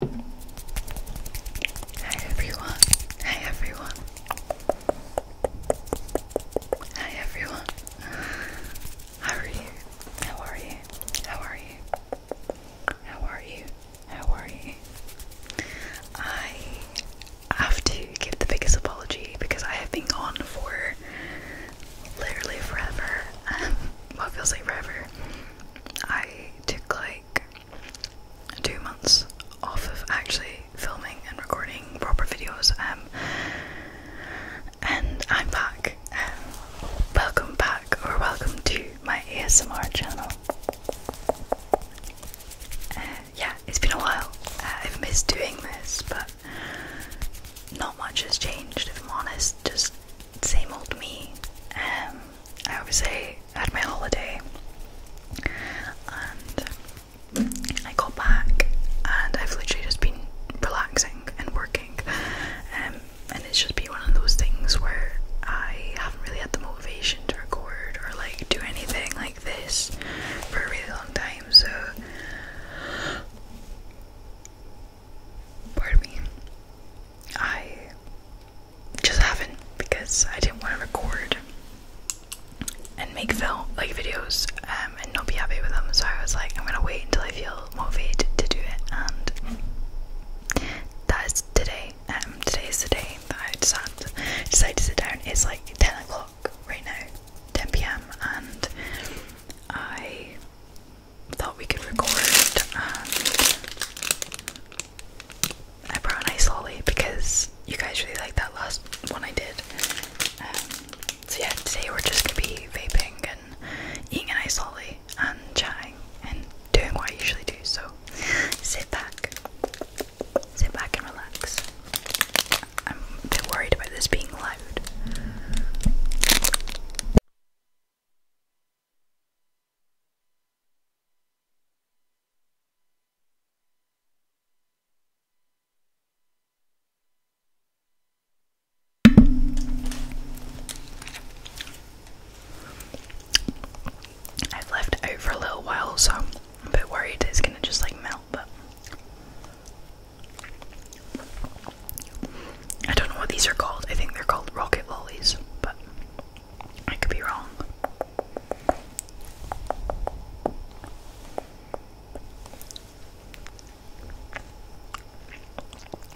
Hi everyone. Hi everyone. Hi everyone. How are you? How are you? How are you? How are you? How are you? I have to give the biggest apology because I have been gone for literally forever. what feels like forever. I took like two months off of actually filming and recording proper videos. Um, and I'm back. Um, welcome back, or welcome to my ASMR channel. Uh, yeah, it's been a while. Uh, I've missed doing this, but not much has changed, if I'm honest. Just same old me. Um, I obviously had my holiday and I got back and I've literally just been relaxing and working. Um, and it's just been one of those things where I haven't really had the motivation to record or like do anything like this for a really long time. So, pardon me. I just haven't because I didn't want to record and make film like videos um, and not be happy with them. So I was like, I'm gonna wait until I feel motivated to do it, and that is today. Um, today is the day that I decided to, to sit down. It's like 10 o'clock right now, 10 p.m. and I thought we could record I brought an ice lolly because you guys really liked that last one I did. Um, so yeah, today we're just gonna be vaping and eating an ice lolly and chatting and doing what I usually do. So sit back, sit back and relax. I'm a bit worried about this being loud. I've left it out for a little while, so a bit worried it's gonna just like melt, but I don't know what these are called. I think they're called rocket lollies, but I could be wrong.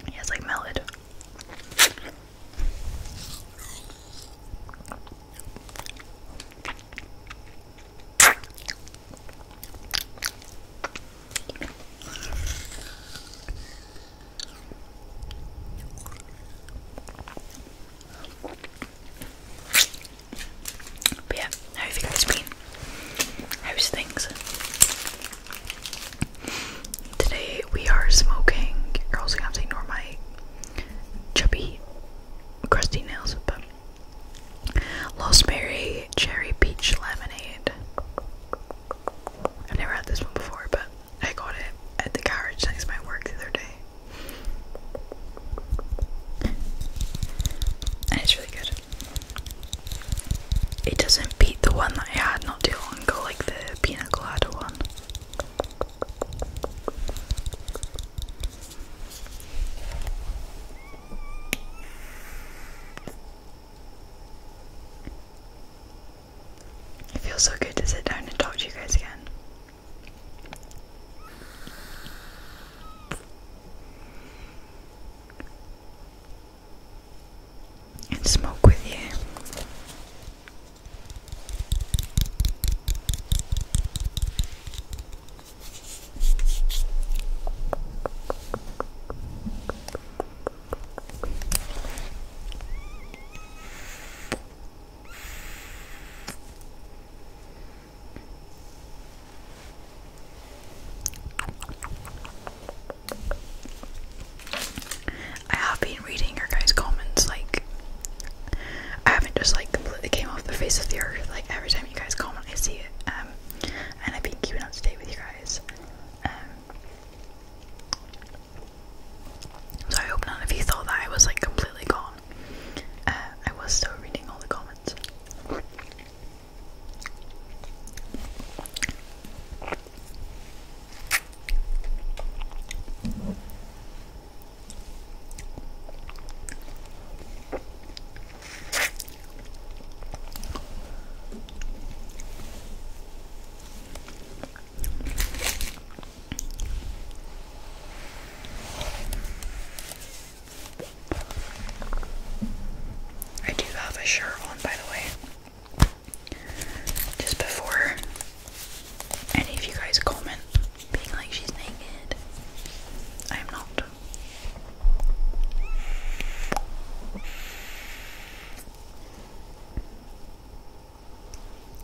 it's like melted. But yeah, how you guys been? How's things? Today we are smoking. Girls are also gonna have to ignore my chubby, crusty nails, but Lost Berry Cherry Peach Lemonade. I've never had this one before, but I got it at the garage thanks to my work the other day. And it's really good. It doesn't beat the one that I had not too long ago, like the pina colada one. It feels so good to sit down and talk to you guys again. And smoke with you. I have been reading your guys' comments, like, I haven't just, like, completely came off the face of the earth, like, every time you guys comment, I see it, um, and I've been keeping up to date with you guys, um, so I hope none of you thought that I was like completely gone. Uh, I was still reading all the comments. I do have a shirt on, by the way. Just before any of you guys comment being like she's naked, I am not.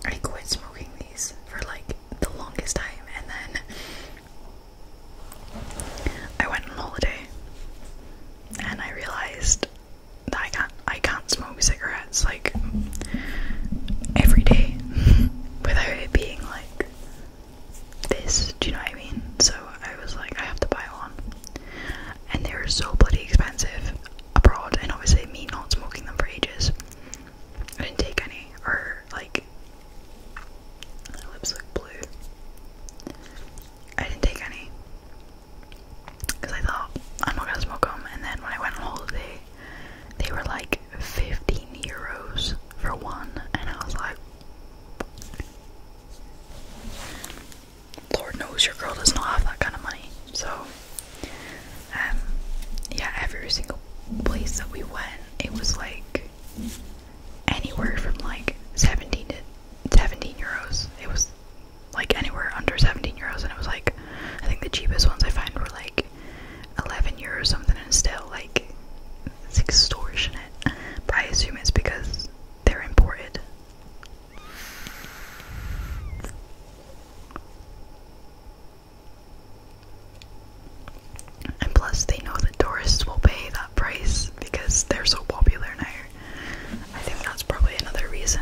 I quit smoking these for like the longest time, and then I went on holiday, and I realized that I can't I can't smoke cigarettes like every day without it being like this. Do you know what I mean? So I was like, I have to buy one, and they were so bloody expensive abroad, and obviously me not smoking them for ages. I didn't take any, or like my lips look blue. I didn't take any because I thought I'm not gonna smoke them, and then when I went on holiday, they were like 15 euros for one, and I was like. Lord knows your girl does not have that kind of money. So um, yeah, every single place that we went, it was like anywhere from like 17 to 17 euros. It was like anywhere under 17 euros, and it was like I think the cheapest ones I find were like 11 euros or something, and still like it's extortionate. But I assume it's because they're imported. And plus, they know that tourists will pay that price because they're so popular now. I think that's probably another reason.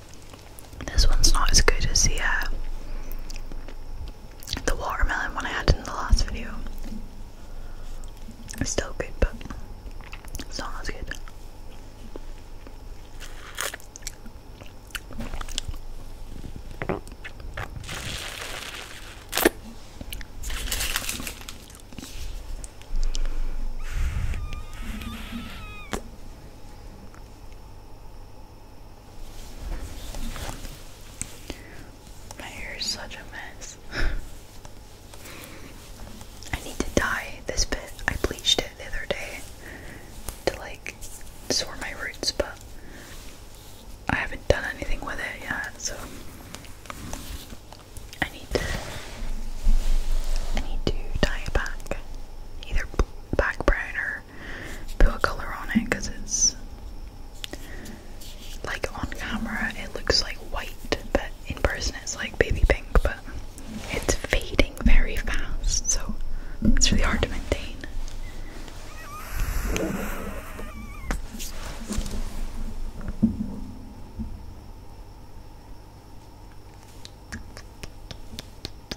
This one's not as good as uh, the watermelon one I had in the last video. It's still good, but it's not as good. My hair is such a mess. I need to dye this bit. I bleached it the other day to like sort my roots, but I haven't done anything with it yet, so I need to I need to dye it back. Either black brown or put a color on it because it's like on camera it looks like white, but in person it's like baby pink, but it's fading very fast, so it's really hard to maintain.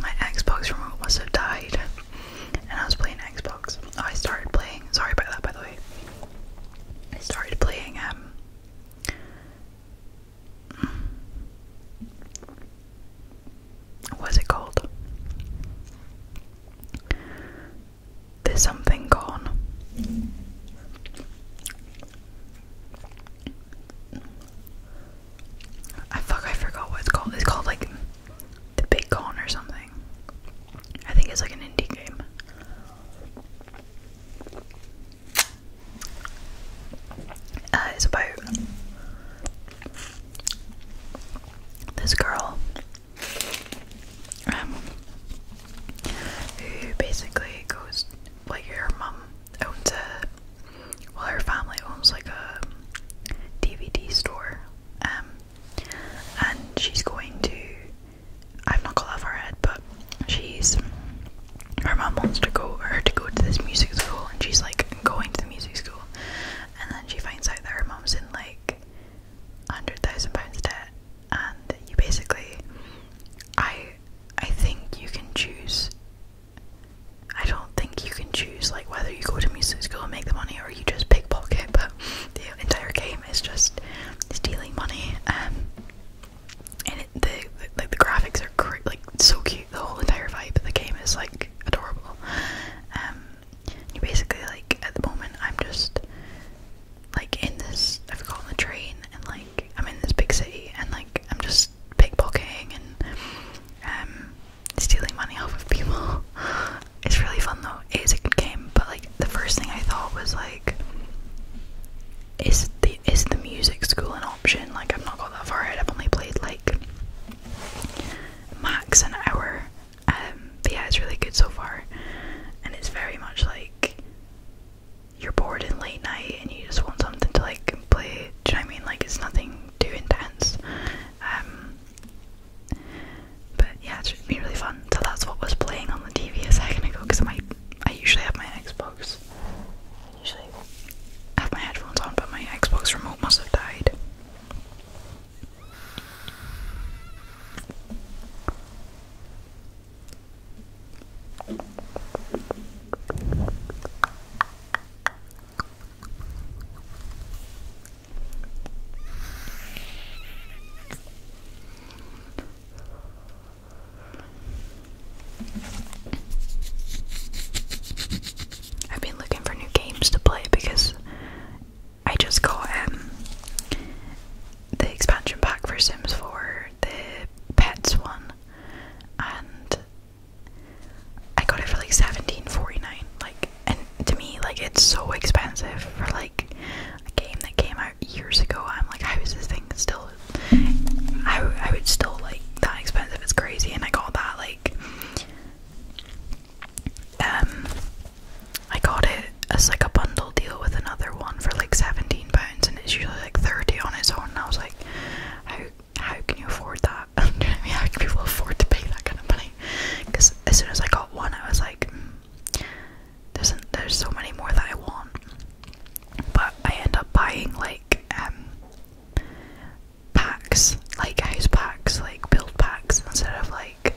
my Xbox remote must have died, and I was playing Xbox. Oh, I started playing. Sorry about that, by the way. I started playing um. What's it called? There's something gone. I fuck, I forgot what it's called. It's called like the Big Con or something. I think it's like an indie game. Uh, it's about this girl um, who basically goes like her mum owns a well, her family owns like a DVD store, um, and she's going to. I've not got that far ahead, but she's. Her mom wants to go her to go to this music school, and she's like going to the music school, and then she finds out that her mom's in like hundred thousand pounds debt, and you basically, I, I think you can choose I don't think you can choose like whether you go to music school and make the money or you just pickpocket, but the entire game is just stealing money. Um, and the, like the graphics are cr like so cute. The whole entire vibe of the game is like adorable. Um, you basically like at the moment I'm just like in this. I've on the train and like I'm in this big city and like I'm just pickpocketing and um stealing money off of people. It's really fun though. It is a good game, but like the first thing I thought was like, is the is the music school an option? Like I've not got that far ahead. I've only played like max an hour. Um, but yeah, it's really good so far, and it's very much like you're bored in late night and you just want something to like play. Do I mean? Like it's nothing too intense. Um, but yeah, it should be really fun. So that's what was playing on the TV a second ago because my I usually have my Xbox. I usually have my headphones on, but my Xbox remote must have died. I've been looking for new games to play because I just got um, the expansion pack for Sims 4, the pets one, and I got it for like seventeen forty nine. Like, and to me, like it's so expensive for like a game that came out years ago. I'm like, how is this thing still? I I would still like that expensive. It's crazy, and I got that like. Um, I got it as like a bundle deal with another one for like seventeen pounds, and it's usually like thirty on its own. And I was like, how how can you afford that? How can people afford to pay that kind of money? Because as soon as I got one, I was like, hmm, there's, so many more that I want. But I end up buying like um, packs, like house packs, like build packs, instead of like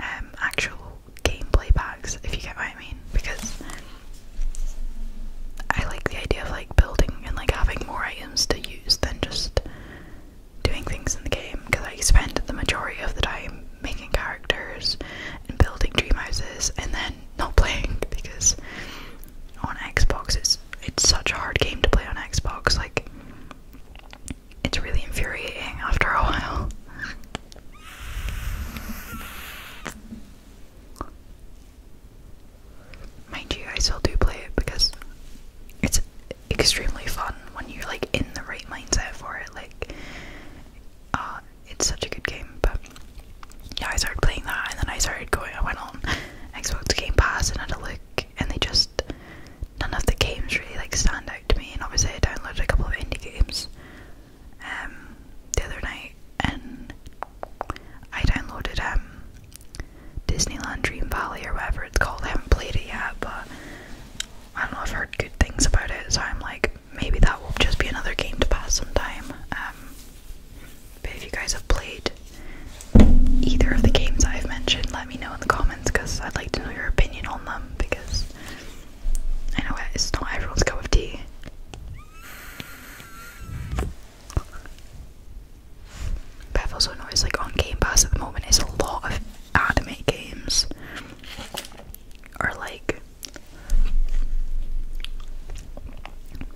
um, actual gameplay packs, if you get what I mean. Because I like the idea of like building and like having more items to use than just doing things in the game because I spend the majority of the time making characters and building dream houses and then not playing because on Xbox it's it's such a hard game to play on Xbox like it's really infuriating after a while. Mind you, I still do play it because it's extremely fun when you're like in the right mindset for it. Like, uh, it's such a good game. But yeah, I started playing that, and then I started going. I went on Xbox Game Pass and had a look, and they just none of the games really like stand out to me. And obviously, I downloaded a couple of indie games um the other night, and I downloaded um Disneyland Dream Valley or whatever it's called. I haven't played it yet, but I don't know. I've heard good things about it, so I'm like, maybe that will just be another game to pass some time. Um, but if you guys have played either of the games I've mentioned, let me know in the comments because I'd like to know your opinion on them because I know it's not everyone's cup of tea. But I've also noticed like on Game Pass at the moment is a lot of anime games. are like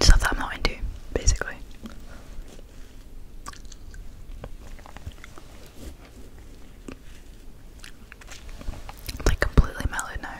stuff I'm not into, basically. Like completely mellow now.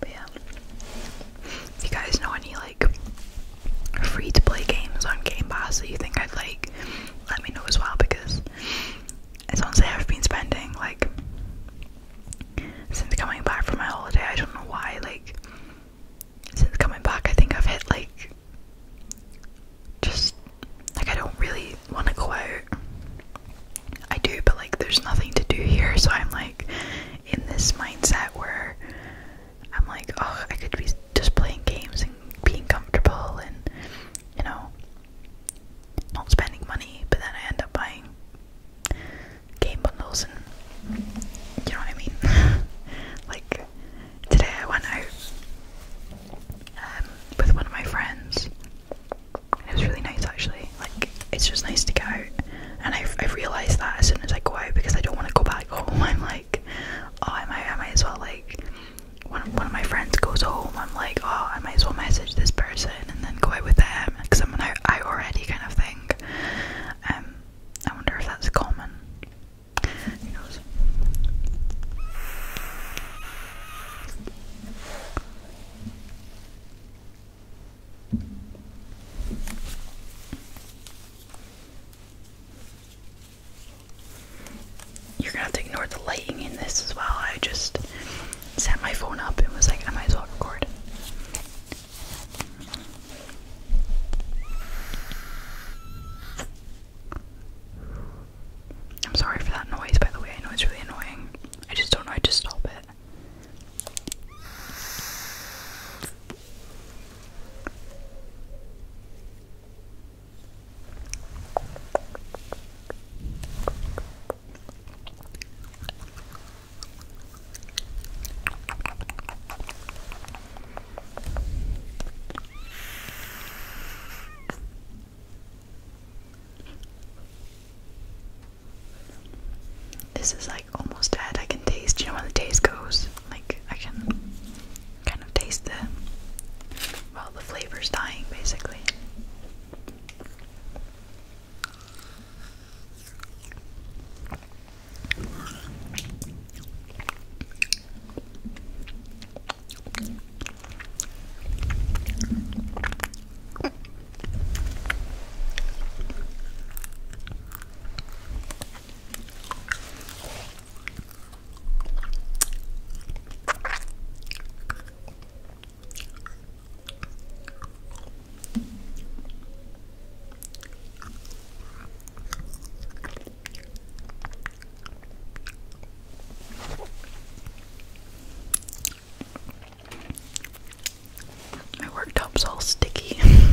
But yeah. you guys know any like like free to play games on Game Pass that you think I'd like, let me know as well because as long as I've been spending like since coming back from my holiday, I don't know why, like since coming back I think I've hit like just like I don't really want to go out. I do, but like there's nothing to do here, so I'm like in this mindset where I'm like, oh, I could be just playing games and being comfortable and, you know, not spending money, but then I end up buying game bundles and, you know what I mean? like, today I went out um, with one of my friends. It was really nice actually. Like, it's just nice to go out. And I've, I've realised that as soon as I go out because I don't want to go back home. I'm like, oh, I might, I might as well like when one of my friends goes home, I'm like, oh, I might as well message this person and then go out with them because I'm an I, I already kind of thing. Um, I wonder if that's common. Who knows? You're gonna have to ignore the lighting in this as well. I just set my phone up and was like, I might as well record. I'm sorry for that noise, by the way. I know it's really annoying. I just don't know how to stop it. This is like almost dead. I can taste, you know, where the taste goes. Like, I can kind of taste the well the flavor's dying basically. My worktop's all sticky.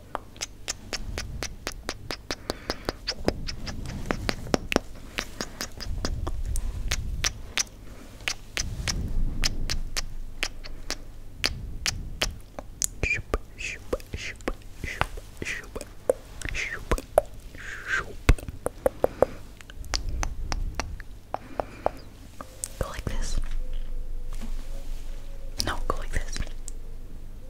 Go like this. No, go like this.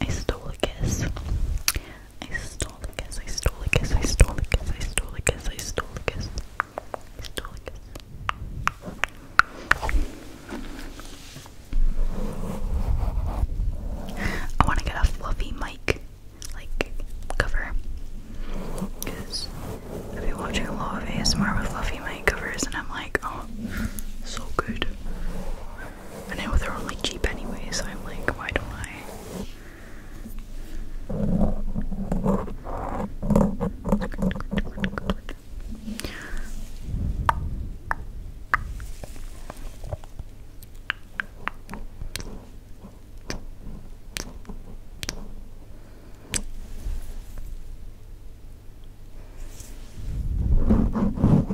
I stole a kiss. I stole a kiss. I stole a kiss. I stole a kiss. I stole a kiss. I stole a kiss. I stole a kiss. I want to get a fluffy mic, like, cover. Because I've been watching a lot of ASMR with fluffy mic covers, and I'm like, oh, so good. I know they're only cheap anyway, so I'm like, why don't I?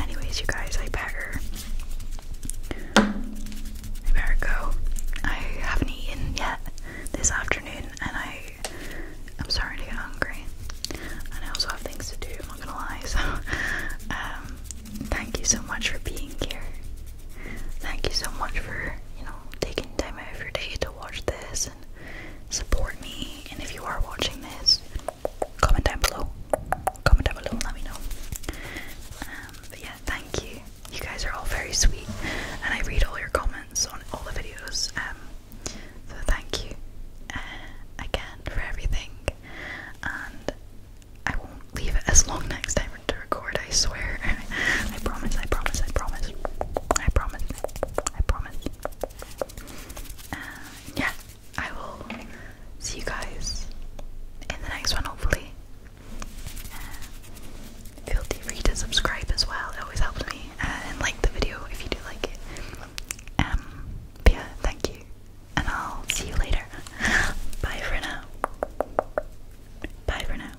Anyways, you guys, I better, I better go. I haven't eaten yet this afternoon, and I, I'm starting to get hungry. And I also have things to do. I'm not gonna lie. So, um, thank you so much for being here. Thank you so much for you know taking time out of your day to watch this and support me. And if you are watching this, comment down below. Comment down below and let me know. Um, but yeah, thank you. You guys are all very sweet, and I read all your comments on all the videos. Um, so thank you uh, again for everything, and I won't leave it as long next time to record it, I swear. I promise, I promise, I promise. I promise. I promise. Uh, yeah, I will see you guys in the next one, hopefully. Uh, feel free to subscribe as well, it always helps me. Uh, and like the video if you do like it. Um, but yeah, thank you. And I'll see you later. Bye for now. Bye for now.